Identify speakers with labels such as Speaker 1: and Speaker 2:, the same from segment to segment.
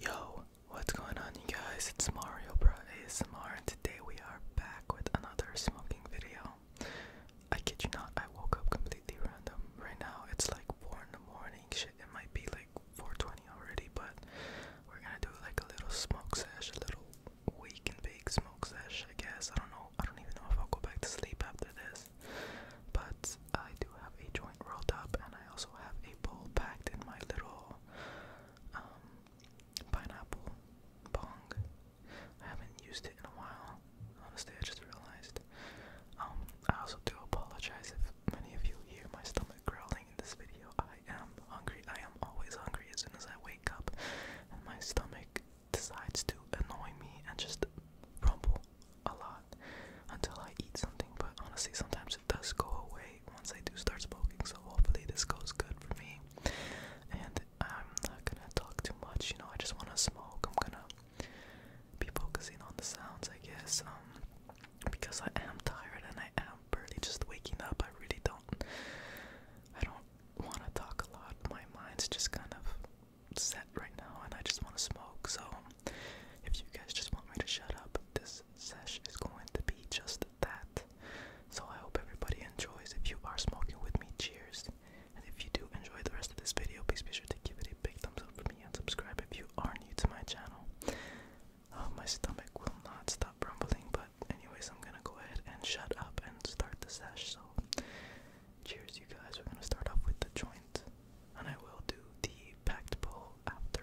Speaker 1: Yo, what's going on, you guys? It's Mario Bro ASMR, and today we are back with another smoking video. I kid you not, I woke up completely random. Right now, it's like 4 in the morning. Shit, it might be like 4:20 already, but we're gonna do like a little smoke sesh, a little we can bake smoke sesh, I guess. I don't know. I don't even know if I'll go back to sleep after this. But I do have a joint rolled up, and I also have a bowl packed in my little um, pineapple bong. I haven't used it in a while. Honestly, I just realized. Um, I also do apologize if many of you hear my stomach growling in this video. I am hungry. I am always hungry as soon as I wake up, and my stomach decides to annoy me and just rumble a lot until I eat something. But honestly, sometimes it does go away once I do start smoking. So hopefully this goes good for me. And I'm not gonna talk too much. You know, I just wanna smoke. I'm gonna be focusing on the sounds, I guess. Um, because I am tired and I am barely just waking up. I really don't. I don't want to talk a lot. My mind's just kind of set right now, and I just want to smoke. So, if you guys just want me to shut up, this sesh is going to be just that. So, I hope everybody enjoys. If you are smoking with me, cheers. And if you do enjoy the rest of this video, please be sure to give it a big thumbs up for me and subscribe if you are new to my channel. Uh, my stomach will not stop rumbling, but anyways, I'm gonna go ahead and shut up and start the sesh. So, cheers, you guys. We're gonna start off with the joint, and I will do the packed pull after.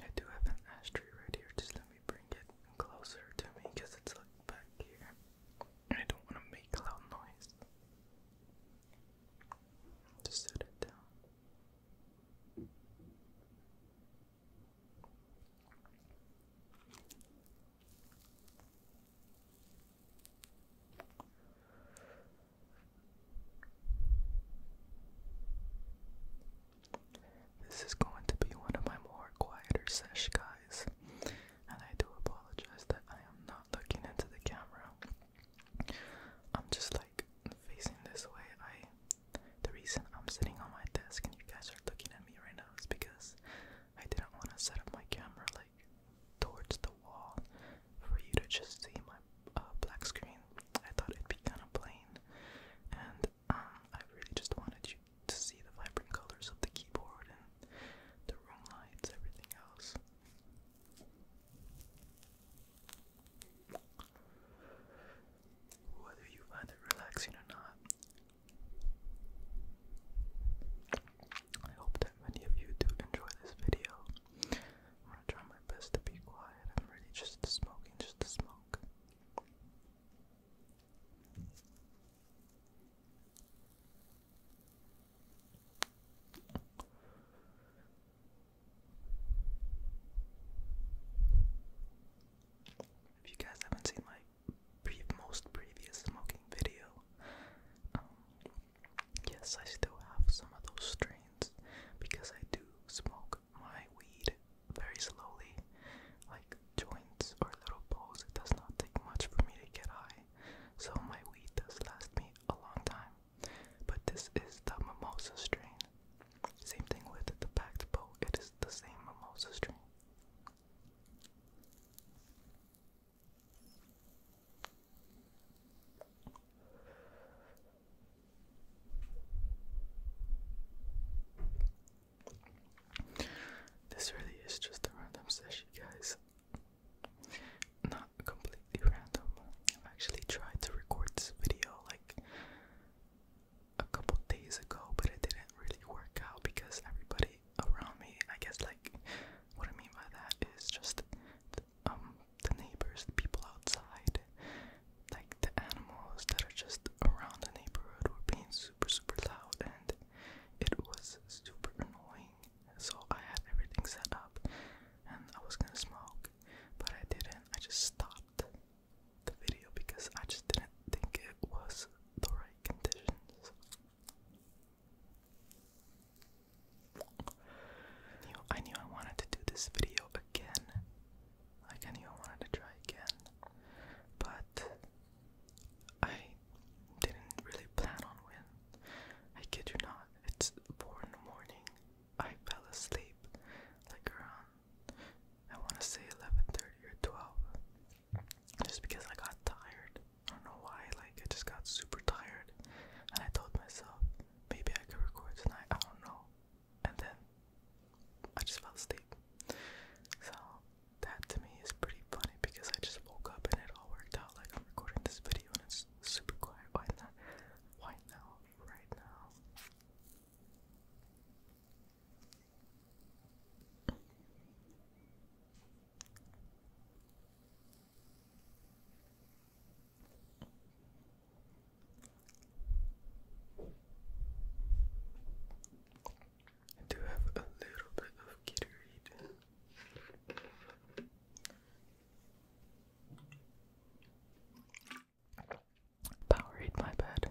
Speaker 1: I do have an ashtray right here, just let me bring it closer to me because it's like back here. I don't want to make loud noise. Just set it down. This is going to be one of my more quieter sesh guys, and I do apologize that I am not looking into the camera. I'm just like facing this way. I the reason I'm sitting on my desk and you guys are looking at me right now is because I didn't want to set up my camera like towards the for you to just see my uh, black screen. I thought it'd be kind of plain, and um, I really just wanted you to see the vibrant colors of the keyboard and the room lights, everything else. Whether you find it relaxing or not, I hope that many of you do enjoy this video. I'm gonna try my best to be quiet. I'm really just smoking, just to smoke. If you guys haven't seen my most previous smoking video, um, Yes, I still have some of those strains because I do smoke my weed very slowly, like joints or little bowls. It does not take much for me to get high, so my weed does last me a long time. But this is the mimosa strain. Same thing with the packed bow, it is the same mimosa strain. This really is just a random session, guys. Not completely random. I've actually tried to record this video like a couple days ago, but it didn't really work out because everybody around me. I guess like what I mean by that is just the, um the neighbors, the people outside, like the animals that are just around the neighborhood were being super super loud and it was super annoying. So I had everything set up and I was gonna smoke, but I didn't. I just stopped the video because I just didn't think it was the right conditions. I knew I wanted to do this video again. I knew I wanted to try again. But I didn't really plan on win. I kid you not. It's four in the morning. I fell asleep like around I wanna say eleven thirty or twelve just because I got tired. I don't know why, like, I just got super tired. And I told myself, maybe I could record tonight, I don't know. And then I just fell asleep. So, that to me is pretty funny because I just woke up and it all worked out. Like, I'm recording this video and it's super quiet. Why not? Why now? Right now? I do have a little bit of Gatorade. Powerade, my bad.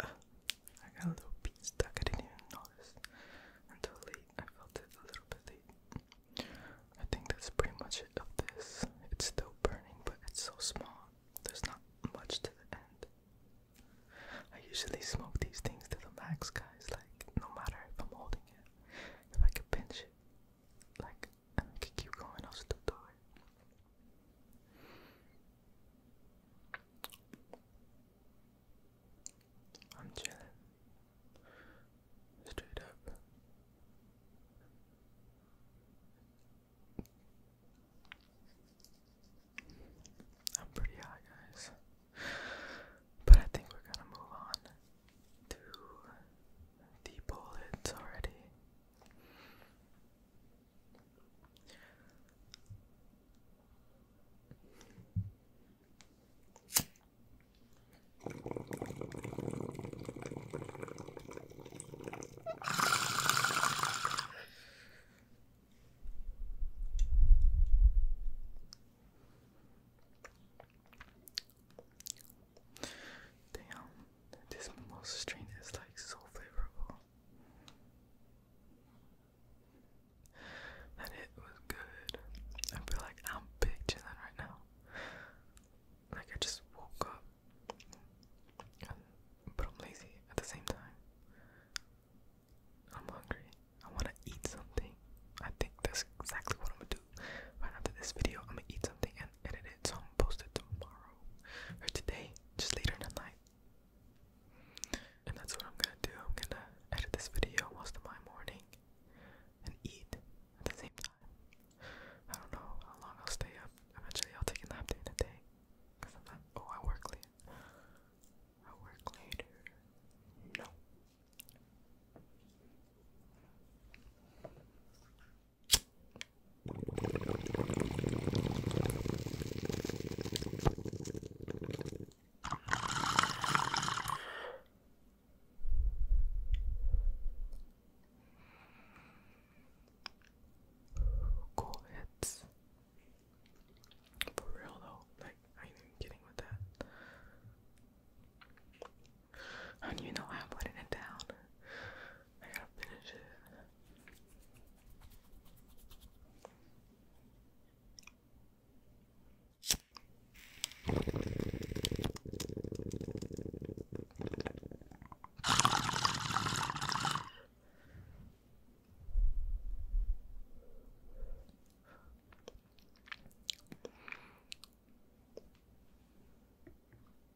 Speaker 1: I got a little piece stuck, I didn't even notice until late. I felt it a little bit late. I think that's pretty much it of this. It's still burning, but it's so small. There's not much to the end. I usually smoke these things to the max, guys. Like, no matter if I'm holding it, if I could pinch it, like, I could keep going, I'll still do it. I'm chilling. Straight up. I'm pretty high, guys. But I think we're gonna move on to the bullets already. Damn, this mimosa strain is like so flavorful. And it was good. I feel like I'm big chilling right now. Like I just woke up. but I'm lazy at the same time. I'm hungry. I want to eat something. I think that's exactly what I'm gonna do. Right after this video, I'm gonna eat something and edit it so I'm going post it tomorrow or today, just later in the night. And that's what I'm gonna do. I'm gonna edit this video most of my morning and eat at the same time. I don't know how long I'll stay up. Eventually, I'll take a nap during the day. Oh, I work late. I work later. No. Cool hits. For real though, like I ain't even kidding with that. How do you know I am putting it down? I gotta finish it.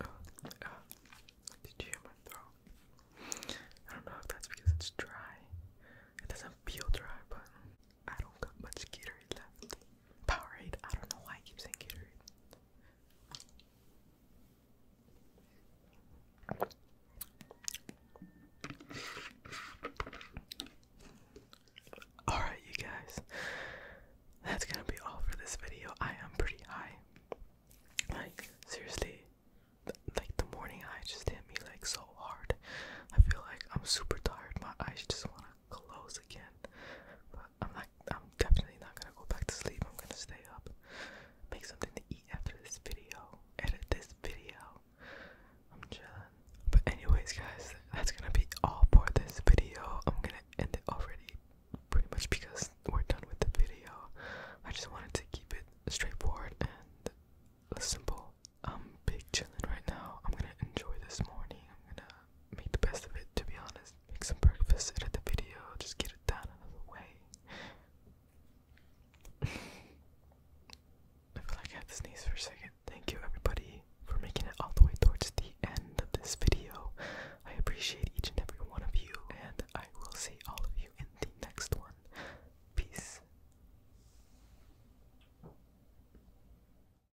Speaker 1: Uh, did you hear my throat? I don't know if that's because it's dry. It doesn't feel dry, but I don't got much Gatorade Powerade. I don't know why I keep saying Gatorade. Alright, you guys, that's gonna be all for this video. I am pretty high. Like, seriously, like the morning high just hit me like so hard. I feel like I'm super tired. My eyes just wanna close again. But I'm not I'm definitely not gonna go back to sleep. I'm gonna stay up, make something to eat after this video, edit this video. I'm chilling. But anyways guys, that's gonna be all for this video. I'm gonna end it already pretty much because we're done with the video. I just wanted to keep it straightforward and simple. I'm big chilling right now. I'm gonna enjoy this morning. I'm gonna make the best of it, to be honest. Make some breakfast, edit the video, just get it done out of the way. I feel like I had to sneeze for a second. Thank you, everybody, for making it all the way towards the end of this video. I appreciate each and every one of you, and I will see all of you in the next one. Peace.